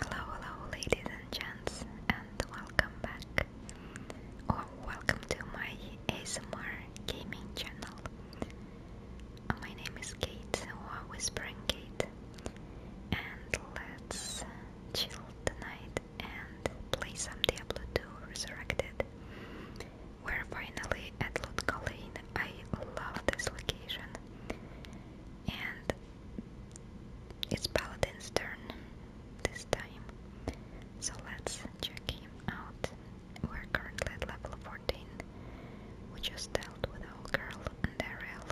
Hello, hello, ladies and gents, and welcome back or welcome to my ASMR gaming channel. My name is Kate or Whispering Kate, and let's chill tonight and play some Diablo 2 Resurrected. We're finally at Lutkalane. I love this location. And it's Paladin's turn this time, so let's check him out. We're currently at level 14. We just dealt with our girl and Ariel,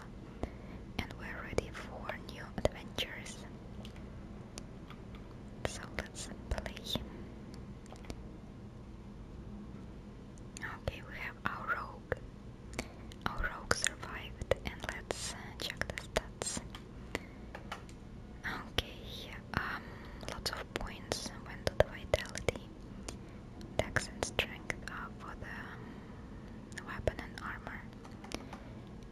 and we're ready for new adventures. So let's play. Okay, we have our rogue. Our rogue survived, and let's uh, check the stats. Okay, um, lots of points went to the vitality, dex and strength uh, for the um, weapon and armor.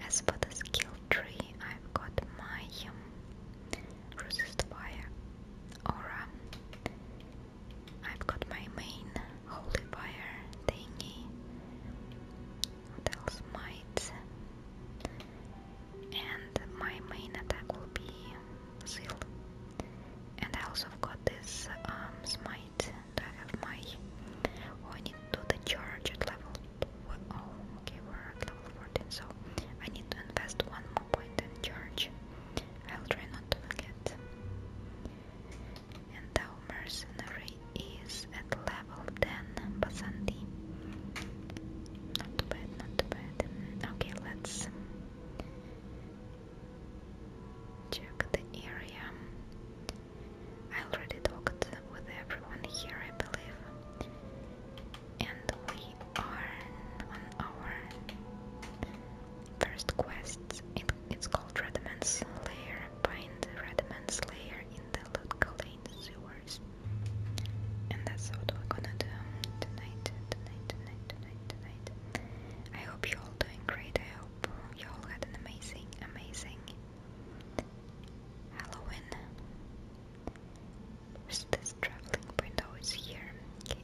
As for the skill tree, I've got my um, resist fire, aura, I've got my main holy fire thingy. What And my main attack will be zeal. And I also got this um, smite. Do I have my? Oh, I need to do the charge at level. Oh, okay, we're at level 14, so I need to invest one more point in charge. I'll try not to forget and our mercenary is at level 10 Basandi. Not bad, not bad. Okay, let's check the area. I already talked with everyone here, I believe. And we are on our first quests. it's called Redman's Lair. Find Redman's Lair in the Ludgate Lane sewers. And that's what we're gonna do tonight, tonight, tonight, tonight, tonight. I hope you're all doing great. I hope you all had an amazing, amazing Halloween. this traveling window? is here.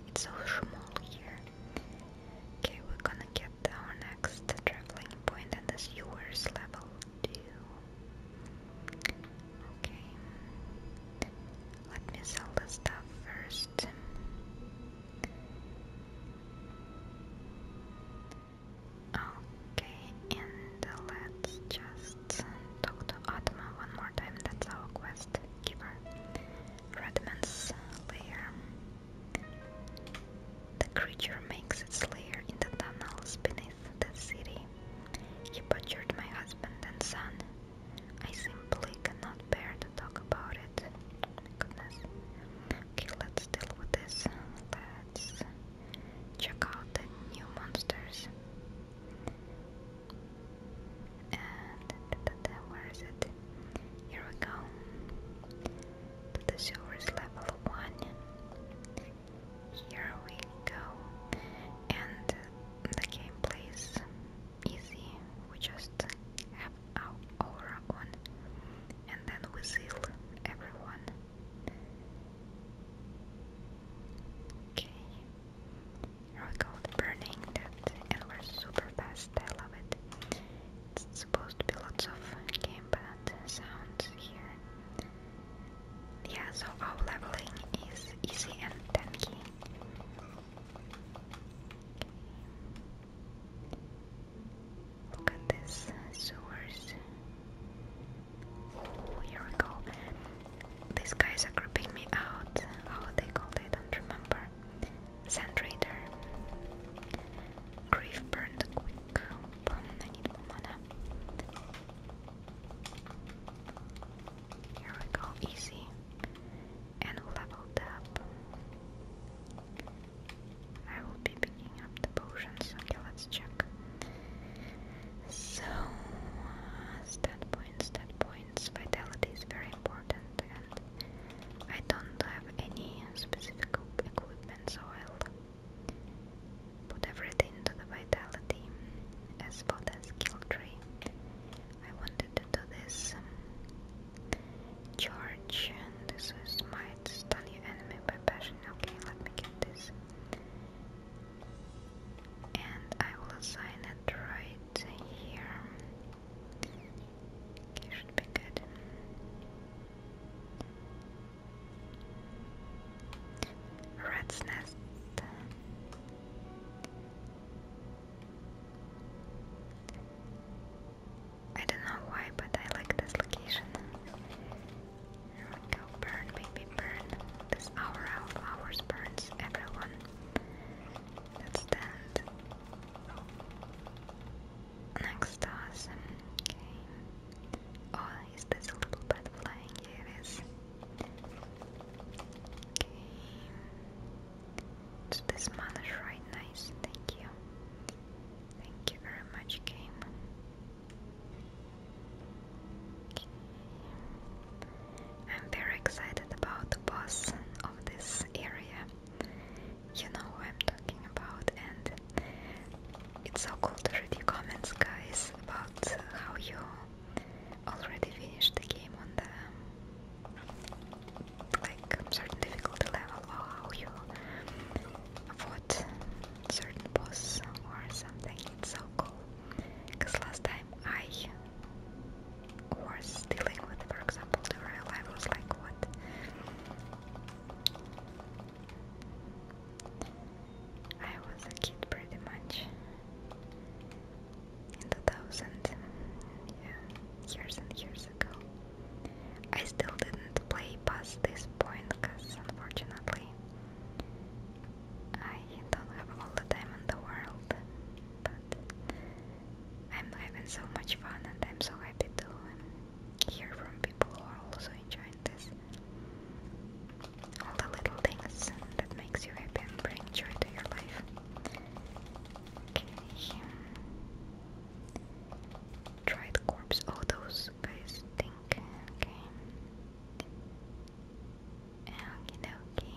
it's so small here. Okay, we're gonna get our next traveling point and the sewers level 2. Okay. Let me sell the stuff first. Okay, and let's just talk to Atma one more time. That's our quest giver. Redman's lair. The creature makes its lair in the tunnels beneath the city. He butchered my husband and son. I simply cannot bear to talk about it. Goodness. Okay, let's deal with this. Let's check out the new monsters. And where is it? Here we go to the silver's level one. Here we go, and the gameplay is easy. We just have our aura on, and then we seal everyone. Okay, here we go, burning that, and we're super fast. I love it. It's supposed to be lots of gamepad sounds here. Yeah, so our leveling is easy and tanky. Look at this sewers. Oh, here we go. These guys are creeping me out. How they called, I don't remember. Sand Raider. Grief burned quick. I need mana. Here we go, easy. And leveled up. I will be picking up the potions. Okay, let's check. So, uh, stat points, stat points. Vitality is very important, I don't have any specific equipment, so I'll put everything to the vitality. As for the skill tree, I wanted to do this um, charge, and this is my stun your enemy by passion. Okay, let me get this. And I will assign it right here should be good. Rat's nest. I don't know why, but I like this location. we go, burn, baby, burn. This hour of hours burns everyone. Let's stand next to Okay. Oh, is this a little bird flying? Here Okay. this mana is right nice. Thank you. Thank you very much, game. I'm very excited about the boss of this area you know who I'm talking about, and it's so cool to read your comments, guys, about how you already finished the game on the like certain difficulty level, or how you fought certain boss or something. It's so cool. Because last time I was dealing with, for example, the real life was like what I was a kid pretty much in 2000, yeah, years and years ago. I still didn't play past this point because unfortunately I don't have all the time in the world, but I'm having so much fun and I'm so happy to hear from people who are also enjoying this. All the little things that makes you happy and bring joy to your life. Okay. Dried corpse. Oh, those guys think. Okay. Okay, okay.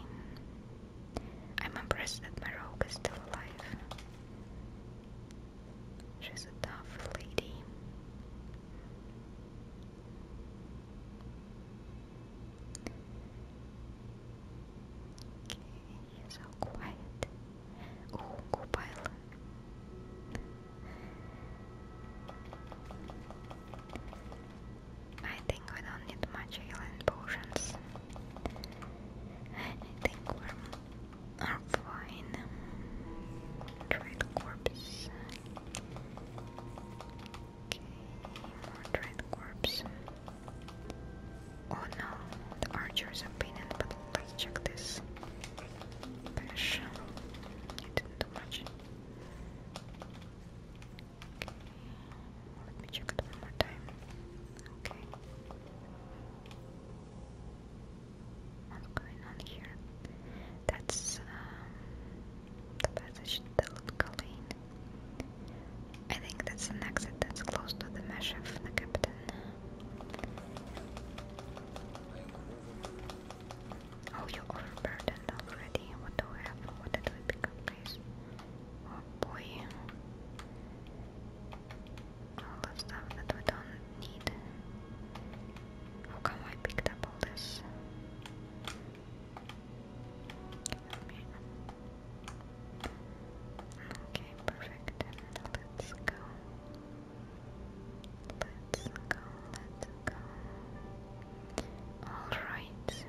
I'm impressed that my rogue is still alive. She's a tough lady. Okay, so quiet. Oh, Copilot. I think we don't need much healing potions. I think we're I'm fine. Trade corpse. Okay, more trade corpse. Oh no, the archer's opinion, but let's check this. not do much. Let me check it one more time. Okay. What's going on here? That's um, the passage to Lutkalin. I think that's an exit that's close to the mesh of the captain. Oh, you overburdened already. What do I have? What did we pick up, guys? Oh boy all the stuff that we don't need. How come I picked up all this? Okay, perfect. Let's go. Let's go, let's go. Alright.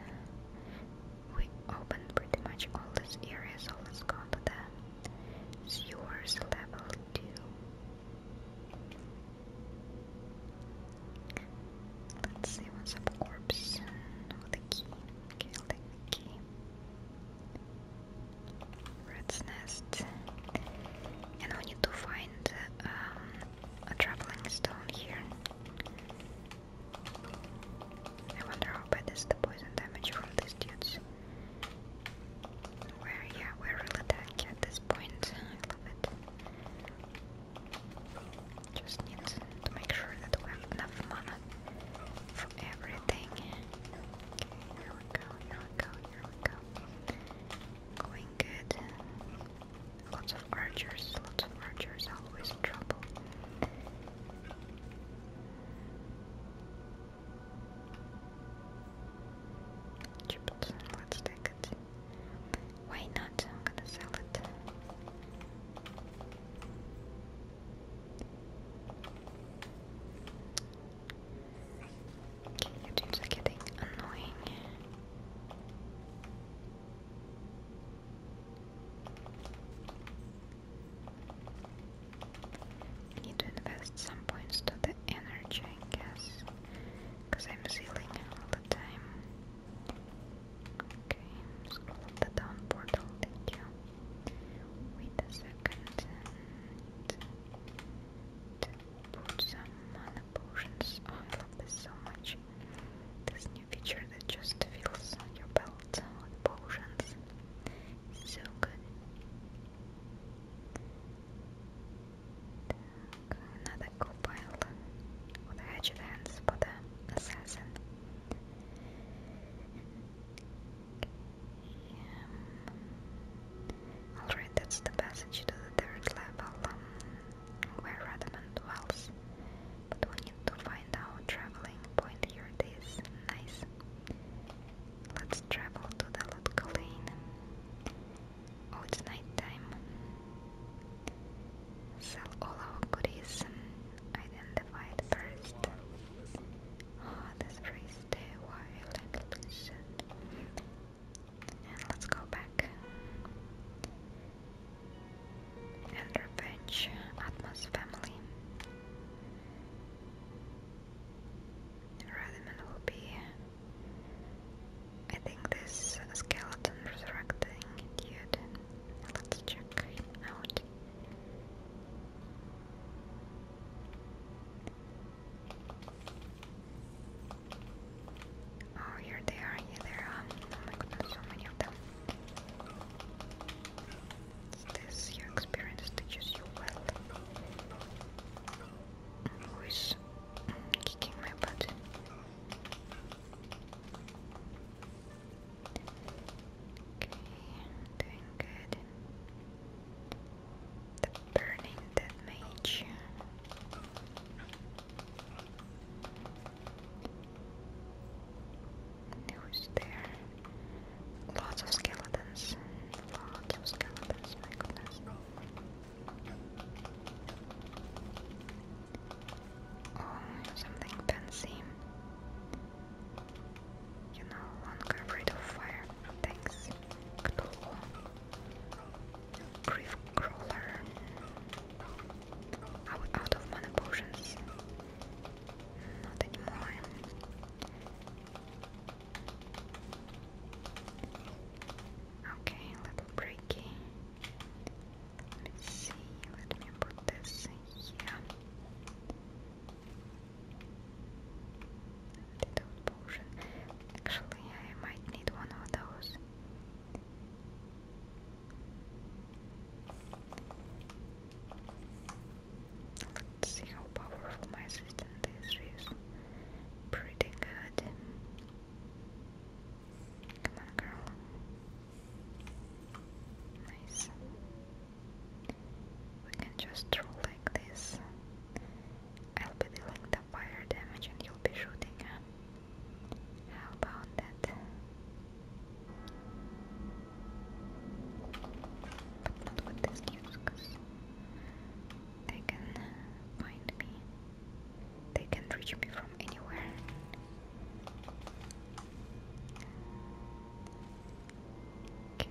We opened pretty much all these areas, so let's go to them. Yours level 2. Let's see what's up, corpse. No, oh, the key. Okay, the key. Red's nest. And we need to find um, a traveling stone here. I wonder how bad is the poison damage from these dudes. Where, yeah, we're really tanky at this point. I love it. Just need to make sure that we have enough mana for everything. here we go, here we go, here we go. Going good. Lots of archers, lots of archers, always trouble. Chippleton, let's take it. Why not? I'm gonna sell it. Okay, the getting annoying. I need to invest some points to the energy, I guess, because I'm sealing all the time. Okay, scroll the down portal, thank you. Wait a second, put some mana potions. Oh, I love this so much. This new feature that just fills your belt with potions. So good. Так, надо Копайл удачи Дэнс под Ассасин. Alright, that's the passage to the third level um, where Radamant dwells. But we need to find out traveling point here it is. Nice. Let's travel to the Lutko Oh, it's night Sell all our goodies. Identified first. Oh, this phrase wild and let's go back. And revenge, Atmos family. Redman will be. I think this skeleton resurrecting dude. Let's check out. Oh, here they are, here they are. Oh my goodness, so many of them this your experience teaches you well. Who is kicking my butt? Okay, doing good. The burning dead mage. Who's there? Lots of skeletons. Lots of skeletons, my goodness. Oh, something fancy. You no longer afraid of fire. Thanks. Cthulhu. crawler. Out, of mana potions. Not anymore. Okay, little breaky. Let's see, let me put this here. Antidote potion. Actually, I might need one of those. Let's see how powerful my system is. pretty good. Come girl. Nice. We can just throw like this. I'll be dealing the fire damage and you'll be shooting, huh? How about that? Not with this games they can find me. They can reach me from anywhere. Okay.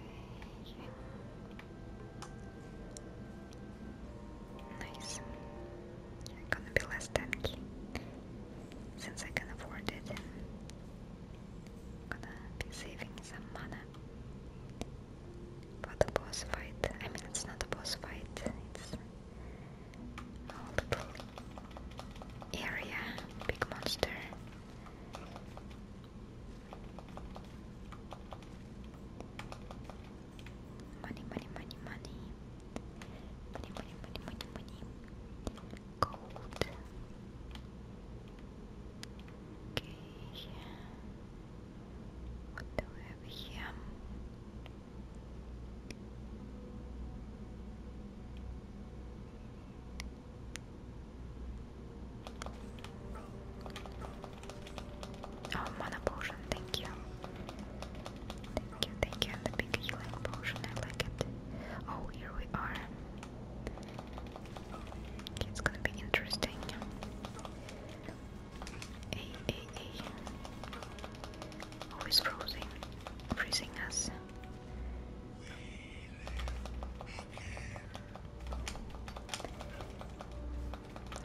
Nice. gonna be less tanky since I can afford it. gonna be saving some mana for the boss fight. I mean, it's not a boss fight, it's a area, big monster. Money, money, money, money. Money, money, money, money, money. Gold. Okay. What do we have here? Oh, mana potion, thank you. Thank you, thank you, the big healing potion, I like it. Oh, here we are. It's gonna be interesting. Hey, Always frozen, freezing us.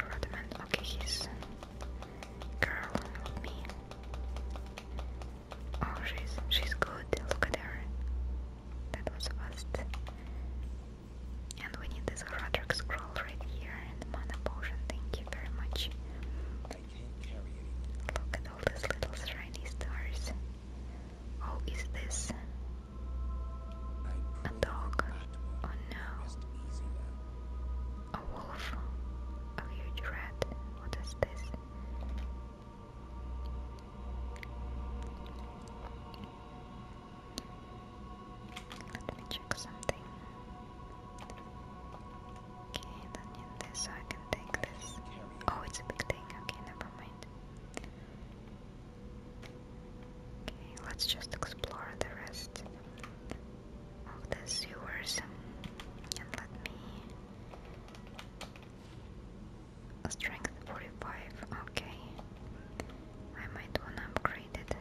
Rodman, okay, he's girl with me. Oh, she's she's good. Look at her. That was fast. And we need this Roderick scroll right here and mana potion. Thank you very much. Look at all these little shiny stars. Oh, is this a dog? Oh no. A wolf? A huge rat? What is this? Let me check something. Okay, don't need this, so I can take this. Oh, it's a big thing. Okay, never mind. Okay, let's just explore the rest of the sewers and let me Strength 45, okay. I might wanna upgrade it.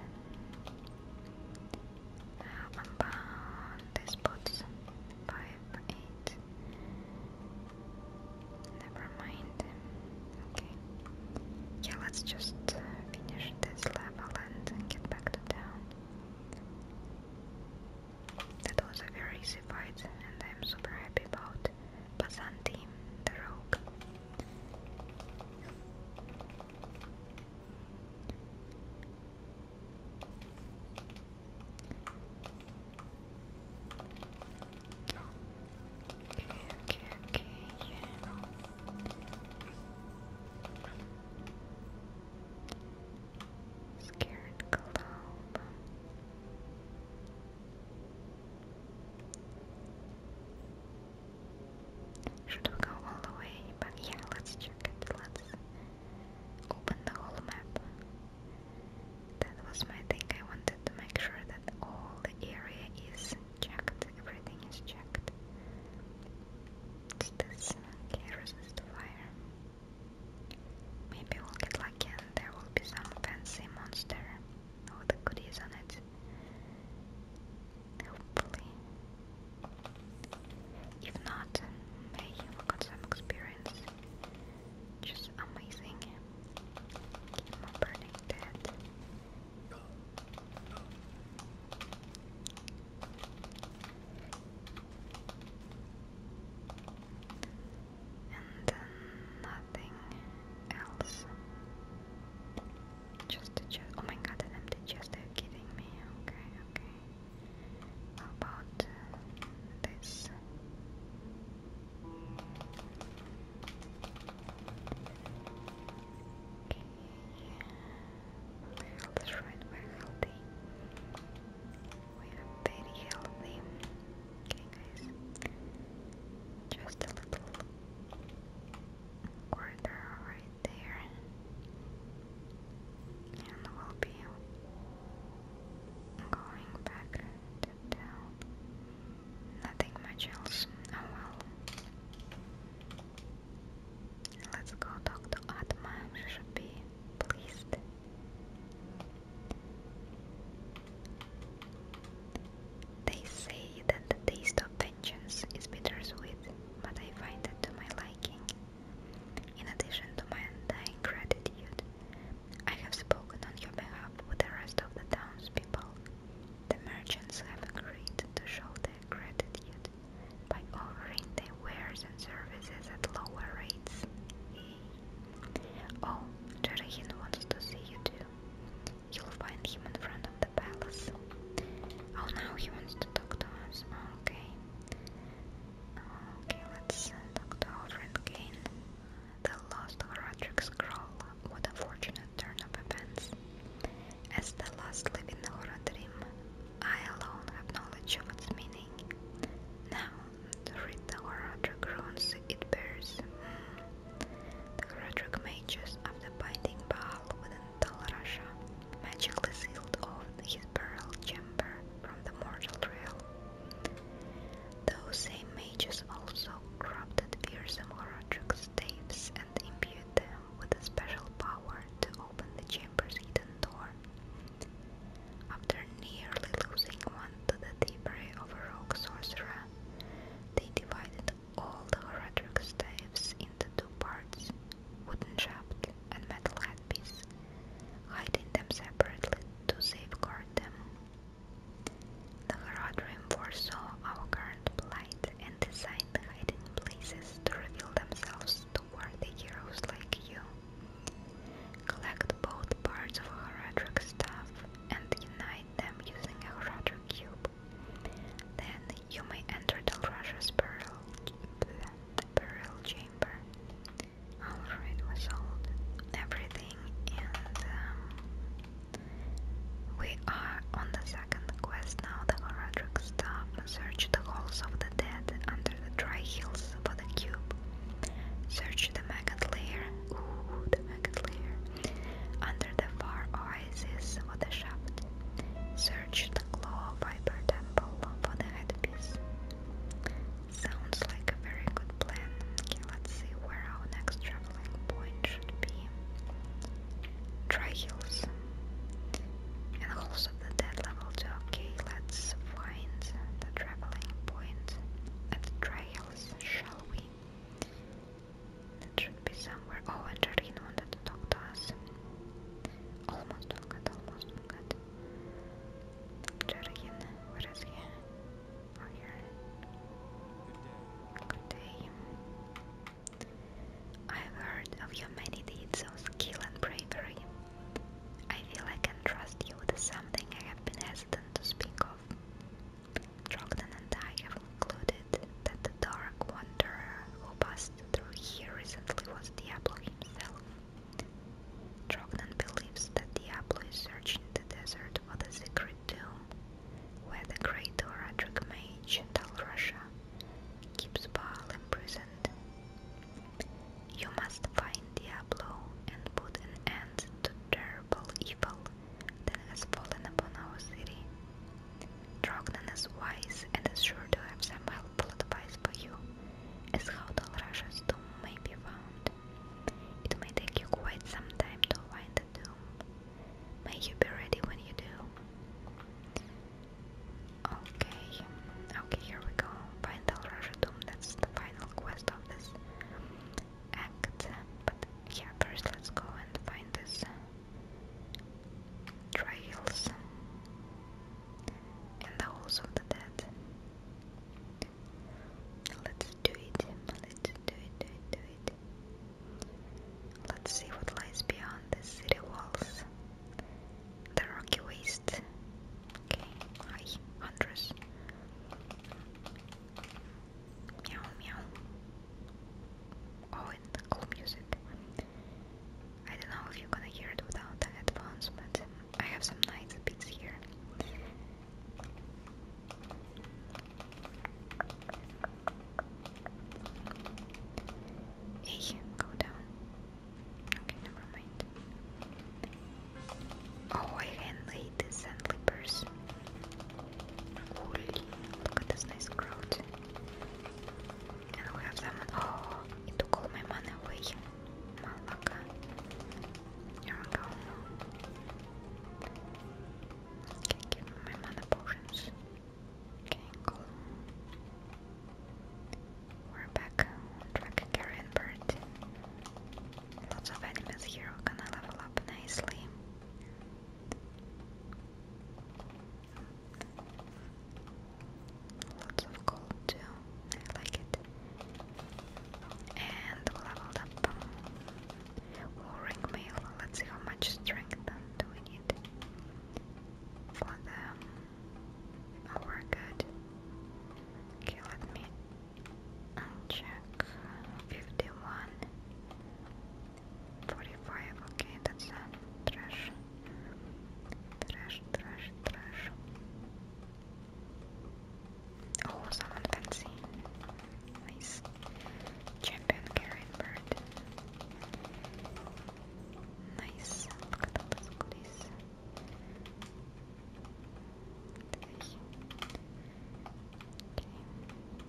about this boots. 5, 8. Never mind. Okay. Yeah, let's just uh, finish this level and get back to town. That was a very easy fight, and I'm super happy about. Byzantine, the rogue. Okay, okay, okay, Scared globe. Should we go all the way? But yeah, let's check it. Let's open the whole map. That was my thing. I wanted to make sure that all the area is checked. Everything is checked. this. Okay, resist fire. Maybe we'll get lucky and there will be some fancy monster all the goodies on it. Hopefully. If not, may got some experience. Just amazing. Keep and then nothing else. Just the chest. Oh my god, an empty chest. Are you kidding me? Okay, okay. How about uh, this? Okay. we're healthy. We are very healthy. Okay. Just a little corridor right there. And we'll be going back to Nothing much else. Oh well. Let's go talk to Atma. They say that the taste of vengeance is bittersweet, but I find it to my liking. In addition to my undying gratitude, I have spoken on your behalf with the rest of the townspeople. The merchants have agreed to show their gratitude by offering their wares and services at lower rates. Oh, Jarahin wants to see you too. You'll find him in front of the palace. Oh, now he wants to talk to us. Oh, okay. Okay, let's uh, talk to Alfred Kane. The lost Horatrix scroll. What a fortunate turn of events. As the last living horror I alone have knowledge of its meaning. Now, to read the Horatrix runes it bears. Hmm, the Herodric mages, after binding Baal within Tal Russia, magically sealed off his burial chamber from the mortal realm. Those same mages also corrupted fearsome Herodric staves and imbued them with a special power to open the chamber's hidden door. After nearly losing one to the thievery of a rogue sorcerer, they divided all the oratoric staffs into two parts, wooden shaft and metal headpiece, hiding them separately to safeguard them. The Herodrim foresaw our current plight and designed hiding places to reveal themselves to worthy heroes like you. Collect both parts of a staff and unite them using a Rutter cube. Then you may enter the Rutter's burial, burial chamber. Alfred was sold everything, and um, we are on the second quest now. The Horadric staff search the halls of the dead under the dry hills for the cube. Search the maggot lair under the far oasis of the shaft. Search the glow claw fiber temple for the headpiece. Sounds like a very good plan. Okay, let's see where our next traveling point should be. Try hills. And also the dead level 2. Okay, let's find the traveling point at Trails, shall we? That should be somewhere. Oh, Angelina wanted to talk to us. Almost forgot, almost forgot. Angelina, where is he? Oh, here. Good day. I've heard of your many deeds of skill and bravery. I feel I can trust you with something I have been hesitant to speak of. Trogdon and I have concluded that the dark wanderer who passed through here recently was Diablo himself. Trogdon believes that Diablo is searching the desert for the secret tomb, where the great Oradric mage Tal Russia keeps Baal imprisoned. You must find Diablo and put an end to terrible evil that has fallen upon our city. Drognan is wise and is sure to have some helpful advice for you, as how Dalrasha's tomb may be found. It may take you quite some time to find the tomb. May you be ready when you do. Okay, okay, here we go. Find Dalrasha tomb, that's the final quest of this act. But yeah, first let's go and find this uh, trails in the halls of the dead. Let's do it. Let's do it. Do it. Do it. Let's see what lies beyond the city walls. The rocky waste. Okay, hi, Andres. Meow meow. Oh, cool music. I don't know if you're gonna hear it without the headphones, but I have some nice beats here. Hey, go down. Okay, never mind. Oh, I can lay this and slippers. Look at this nice crowd. And we have someone. Oh, it took all my money away. Malaka. Here we go. Okay, give me my mana potions. Okay, cool. We're back on track, Carrion Lots of enemies here, we're gonna level up nicely. Lots of gold too. I like it. And leveled up. Warring mail. Let's see how much strength do we need for them. Oh, Okay, let me check 51 45, okay, that's a trash trash, trash, trash oh, someone fancy nice champion carrion bird nice, look at all those goodies Okay.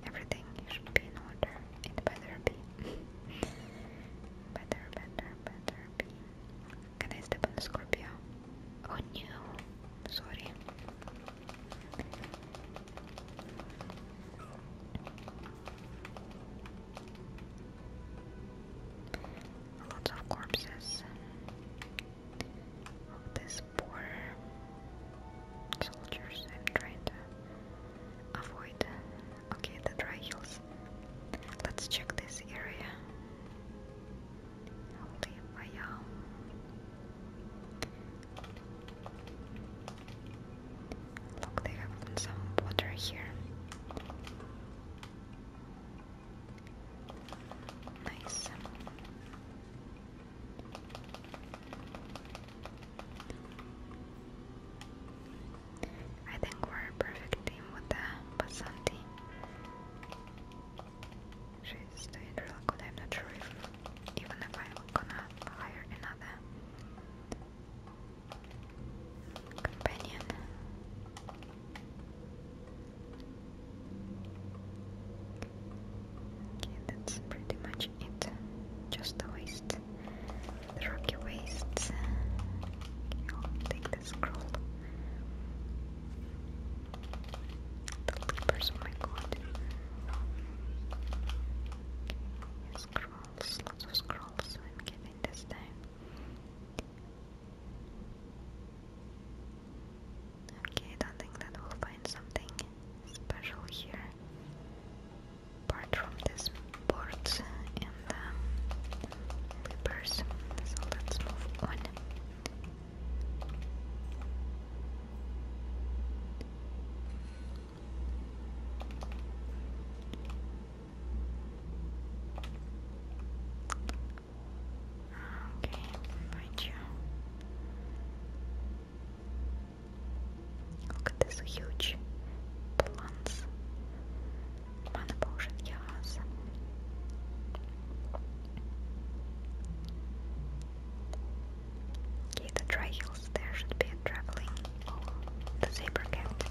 Everything should be in order. It better be. better, better, better Can I step on Scorpio? Oh no. Sorry. Lots of corpses. this poor soldiers. I'm trying to avoid. Okay, the dry hills. Let's check this area. Holy Maya. Look, they have some water here. Nice. I think we're a perfect team with the Basanti. She's the integral good, I'm not sure if even if I'm gonna hire another companion. Okay, that's pretty much it. Just the waste. The rocky wastes. Okay, will take the scroll. The leapers, oh my god. scrolls, lots of scrolls I'm getting this time. Okay, I don't think that we'll find something special here apart from these boards and um, so let's move on Okay, invite you. Look this huge plants. Mana potion, yes. Okay, the dry there should be a traveling. Oh, cat.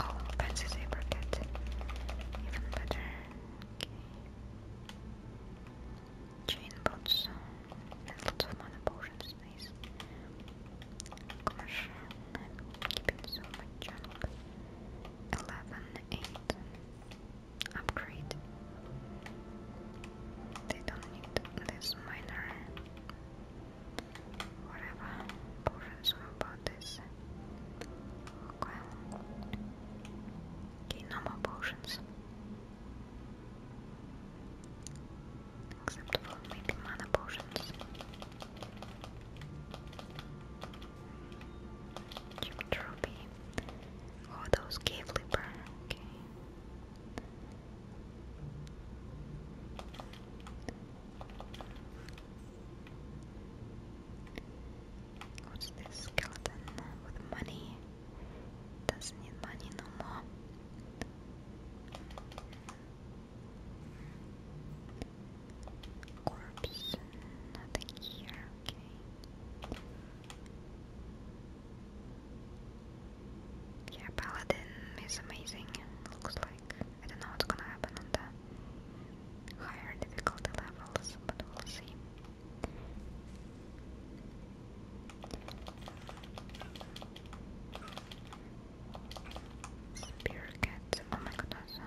Oh, fancy zebra cat. Even better. Chain bots lots of mana potions, nice. Gosh, I'm keeping so much Upgrade. They don't need this minor. Whatever potions about this. Okay, no more potions. Except for making mana potions. Chip trophy. Oh, those cave leaper. What's this skeleton with money? Doesn't need money no more. nothing here, okay. Yeah, Paladin is amazing. Looks like I don't know what's gonna happen on the higher difficulty levels, but we'll see. Spirit cats, oh my god, that's you.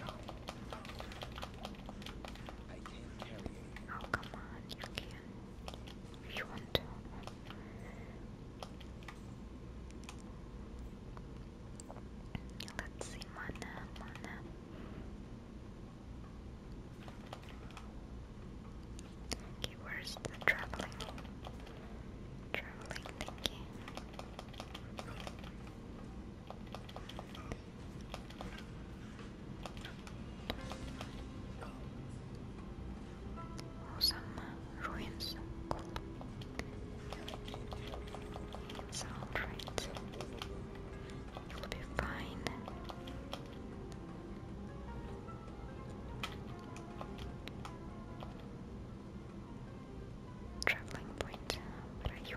Oh come on, you can. If you want to. Let's see, mana, mana. Okay, where's traveling? Traveling thingy. ruins. Cool. It's It'll be fine. Traveling point. What are you?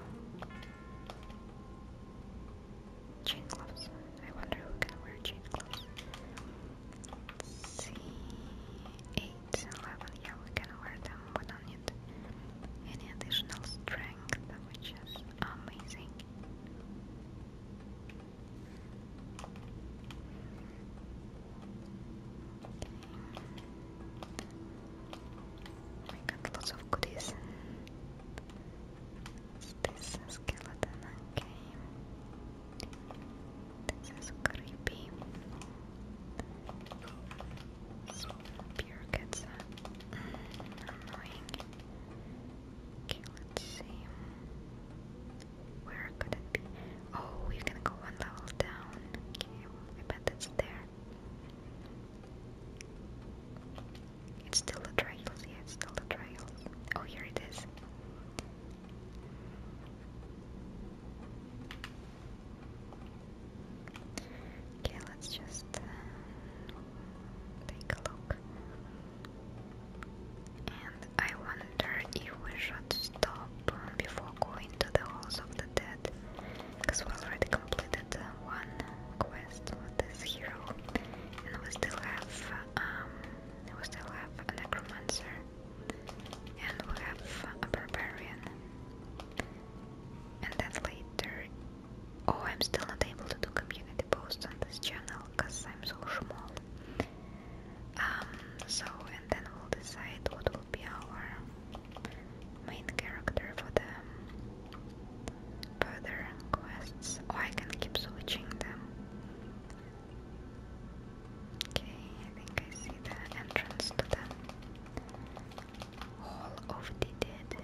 Chain gloves. I wonder who can wear chain gloves. Let's Yeah, we can wear them. We don't need any additional strength, which is amazing. I got lots of goodies. This is skeleton, okay. This is creepy. So, where could it be? Oh, we can go one level down. Okay, I bet it's there. It's still the trails, yeah, still the trails. Oh, here it is. Okay, let's just uh, take a look. And I wonder if we should stop before going to the halls of the dead, because we already completed uh, one quest with this hero, and we still have um, we still have a necromancer, and we have a barbarian, and then later Oh, I'm still not able to do community posts on this channel because I'm so small. Um, so, and then we'll decide what will be our main character for the further quests. Oh, I can keep switching them. Okay, I think I see the entrance to the Hall of the Dead.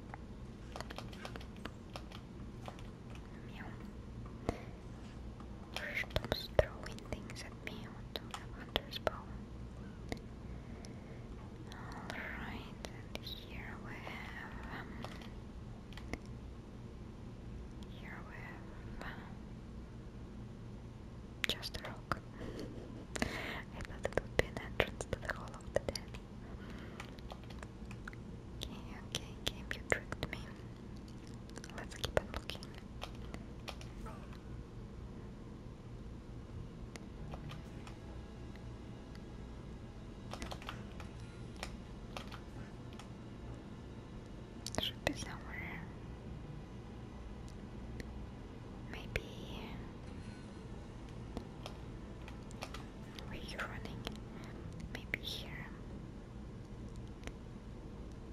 Meow. throwing things at me to have hunter's bow. Alright, and here we have here we have just a rock. I thought it would be an entrance to the Hall of the Dead. Okay, okay, game, you tricked me. Let's keep on looking. Should be somewhere. Maybe where are you running? Maybe here.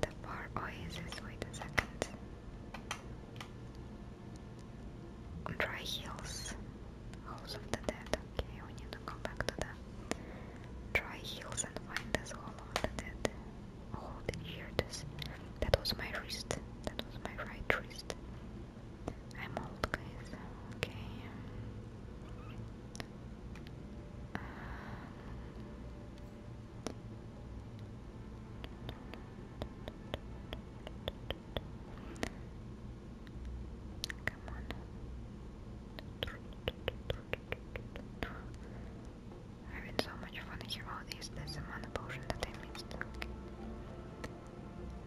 The bar oasis, wait a second. Dry Hills, House of the Dead. Okay, we need to go back to the Dry Hills and find this Hall of the Dead. Oh, did this? That was my wrist. That was my right wrist. I'm old, guys. Okay. Come on. Having so much fun here. Oh, is this amount of potion that I missed? Okay.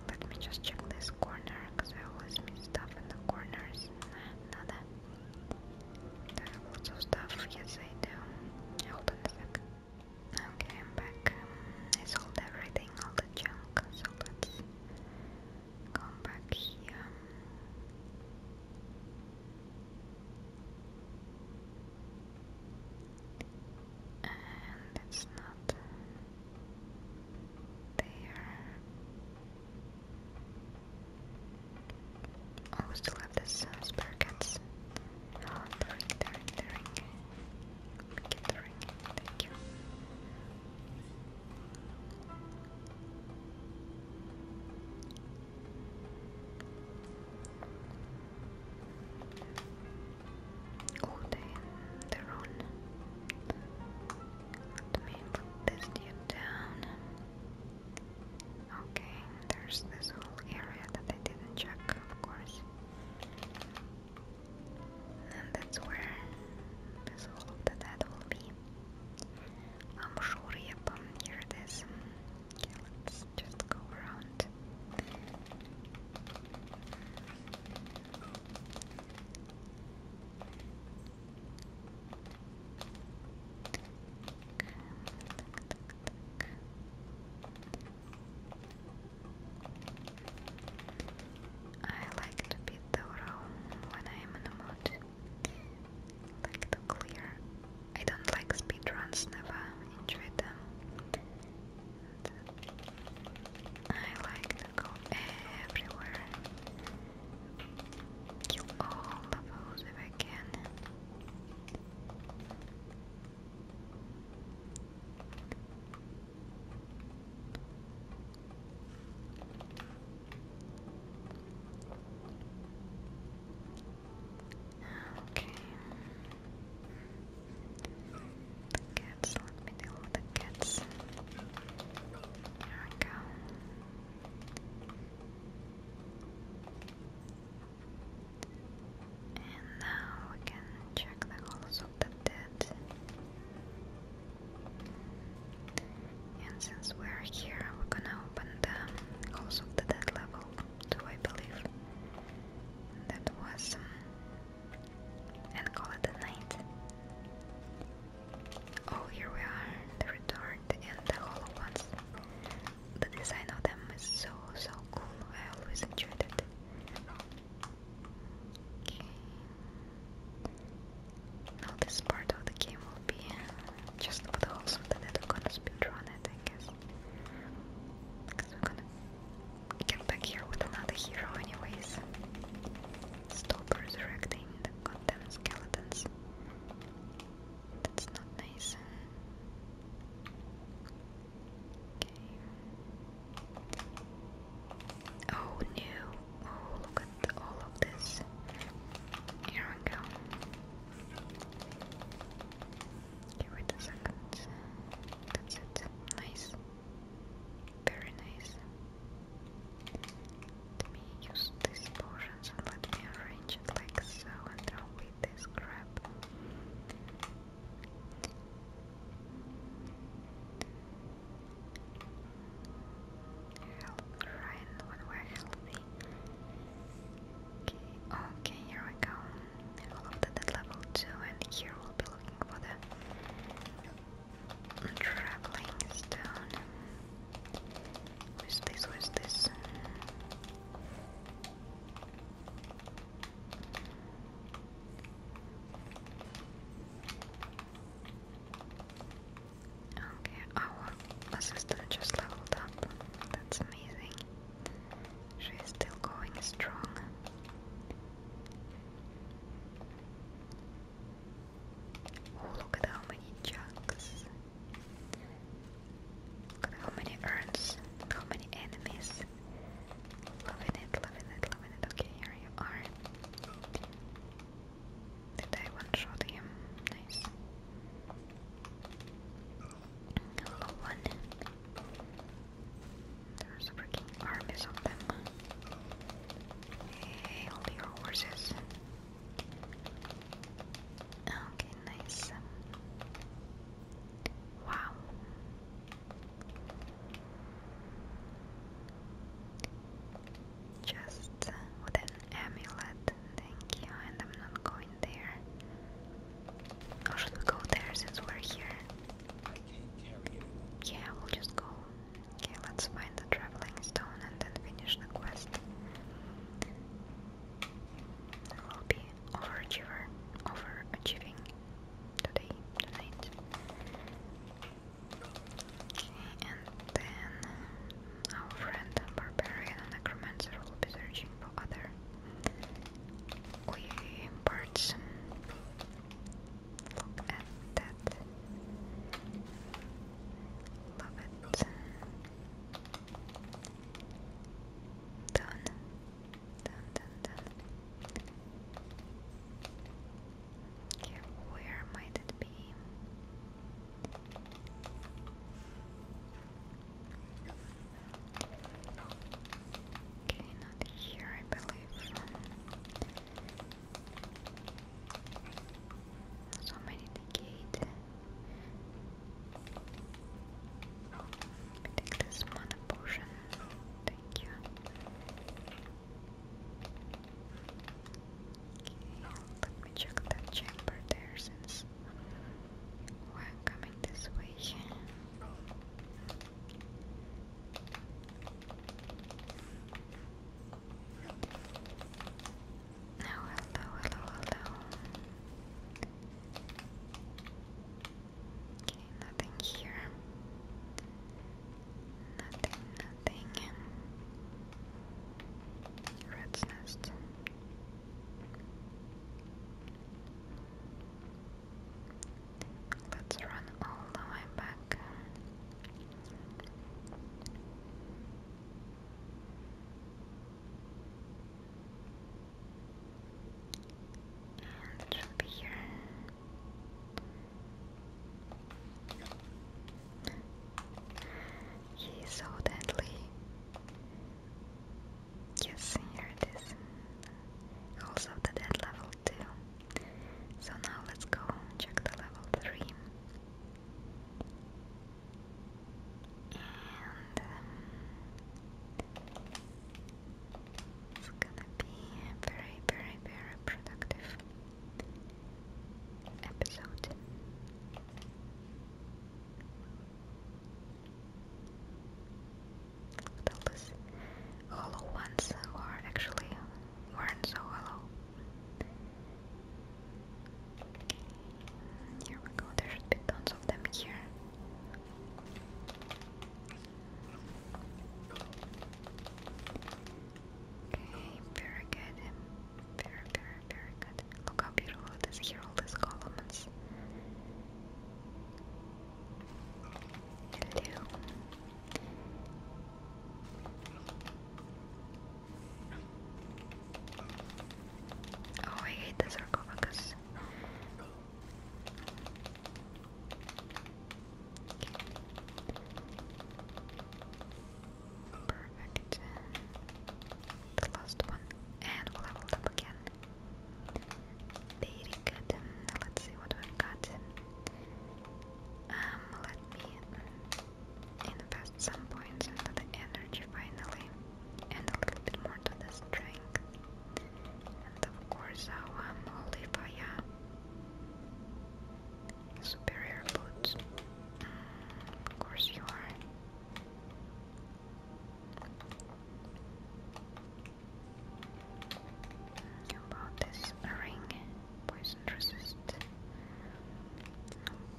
Let me just check this corner because I always miss stuff in the corners. Nah, nada. Do lots of stuff? Yes, I do. Hold on a sec. Okay, I'm back. Um, I sold everything, all the junk, so let come back here and it's not there. Oh, still have the uh, spare cats. Oh, ah, the ring, the ring, the the ring, thank you. Oh, they, are on. Let me put this dude down. Okay, there's this whole area that I didn't check, of course. And that's where the soul of will be. I'm sure, yep, um, here it is. Okay, let's just go around. I like to be thorough when I am in a mood. Like to clear. I don't like speedruns, never enjoyed them. I like to go everywhere. Kill all the foes I can. Okay. The cats, let me deal with the cats. Here we go. And now we can check the halls of the dead. And since we're here, we're gonna open the halls of the dead level, do I believe? That was um, and call it a night. Oh, here we are, the retort and the hollow ones. The design of them is so, so cool, I always enjoyed it. Okay. Now this part of the game will be just for the whole something that we're gonna I guess get back here with another hero anyways. Stop resurrecting the goddamn skeletons. That's not nice. Okay. Oh no! Oh look at all of this. Here we go. Okay, wait a second. That's it. Nice. Very nice. Let me use these potions and let me arrange it like so and now with this Help Ryan when we're healthy. Okay, here we go. All of that at level 2 and here we'll be looking for the traveling stone. Where's this? Where's this? Okay, our oh, assistant just leveled up. That's amazing. She's still going strong. Oh, look at how many jugs. Look at how many urns, how many enemies. Loving it, loving it, loving it. Okay, here you are. Did I one shot him? Nice. Hello, one. There's freaking armies of them. Hail your horses. Okay, nice. Wow. Just with an amulet. Thank you, and I'm not going there. Or should we go there since we're here? Yeah, we'll just go. Okay, let's find the traveling stone and then finish the quest. We'll be overachiever, overachieving today, tonight. Okay, and then our friend Barbarian and Necromancer will be searching for other parts. Look at that. Love it. Done. Done, done, done. where might it be? Okay, not here, I believe. Somebody the gate. Take this mana potion. Thank you. let me check that chamber there since we're coming this way. Now, hello, hello, hello. Okay, nothing here. Nothing, nothing. Red's nest. Let's run all the way back. And it should be here. He so deadly. Yes, here it is. Also the dead level too. So now let's go check the level 3. And um, it's gonna be very, very, very productive episode those hollow ones who are actually weren't so hollow. Here we go, there should be tons of them here. Okay, very good. Very, very, very good. Look how beautiful it is here, all these columns. Hello. Oh, I hate the sarcophagus. Okay. Perfect. The last one. And we'll level up again. Lady cat. Let's see what we've got. Um, let me invest some points into the energy finally, and a little bit more to the strength. And of course, our Molivaya um, superior boots. Mm, of course, you are about this ring? Poison resist.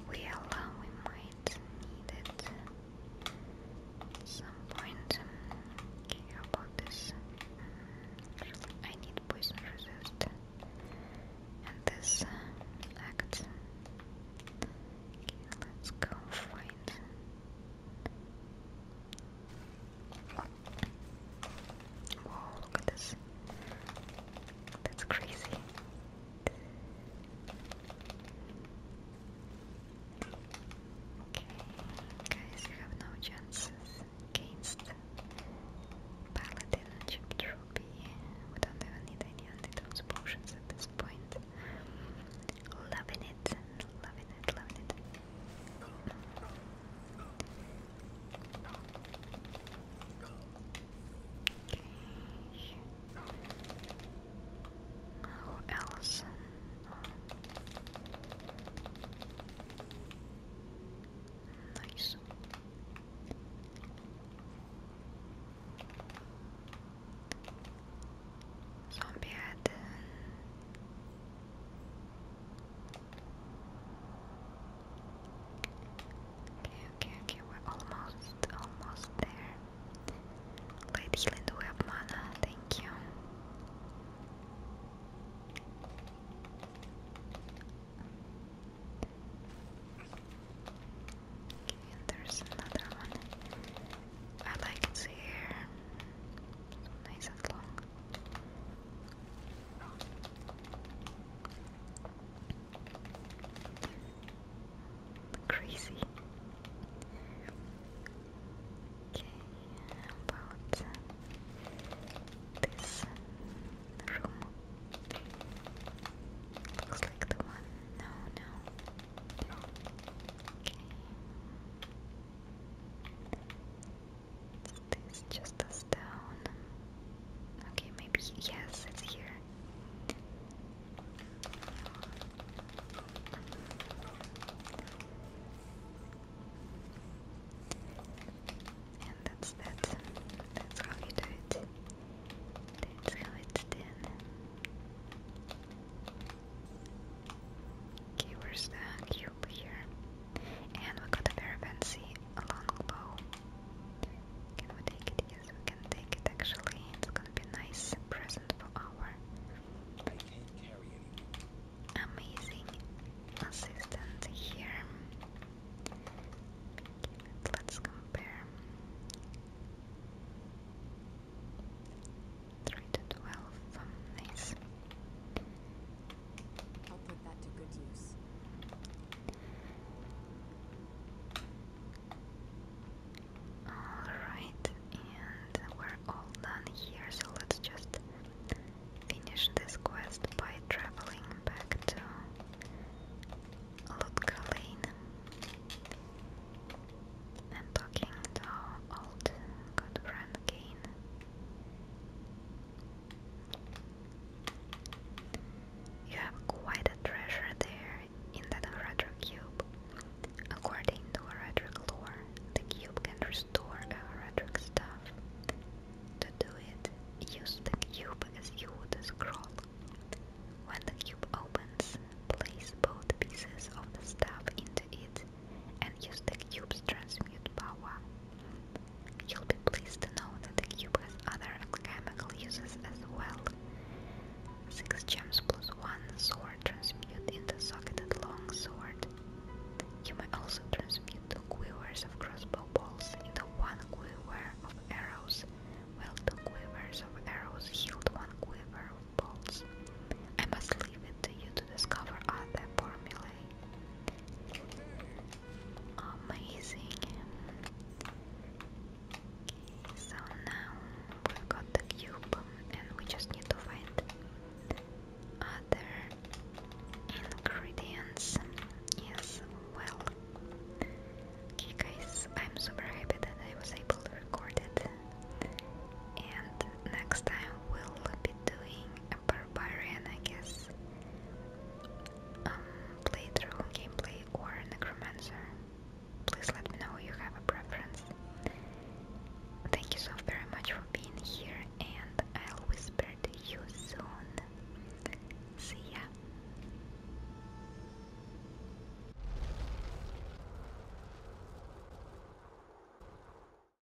Well, we might need it some point. Um, okay, how about this? Mm, I need poison resist. And this uh, act. Okay, let's go find Oh, look at this. That's crazy. Okay, guys, you have no chances against Paladin and Chip We don't even need any antidotes potions at this point. Loving it, loving it, loving it. Who oh, else? Nice. Zombie head. Okay, okay, okay, we're almost, almost there. Light healing, do we have mana? Thank you. there's another one. I like its hair. nice and long. Crazy. Okay, about this room. Looks like the one. No, no. Okay. This just a stone. Okay, maybe yes, it's here. And that's that. That's how you do it. That's how it's done. Okay, where's the cube here? And we got a very fancy longbow. Can we take it? Yes, we can take it actually. It's gonna be a nice present for our amazing assistant here. Let's compare. 3 to 12, nice. I'll put that to good use. Alright, and we're all done here, so let's just finish this quest by traveling back to Lutka and talking to old good friend Kane. You have quite a treasure there in that Hradra cube. According to Hradric lore, the cube can restore a Hradric staff. To do it, use the cube as you would a scroll. When the cube opens, place both pieces of the staff into and use the cube's transmute power. You'll be pleased to know that the cube has other alchemical uses as well. 6 gems plus 1 sword transmute into socketed long sword. You may also transmute quivers of crossbow balls into one quiver of arrows, while two quivers of arrows yield one quiver of bolts. I must leave it to you to discover other formulae Amazing. so now we got the cube and we just need to find other ingredients. Yes, well. Okay guys, I'm super happy that I was able to record it. And next time we'll be doing a barbarian, I guess, um, playthrough, gameplay, or necromancer. Please let me know you have a preference. Thank you so very much for being here, and I'll whisper to you soon. See ya.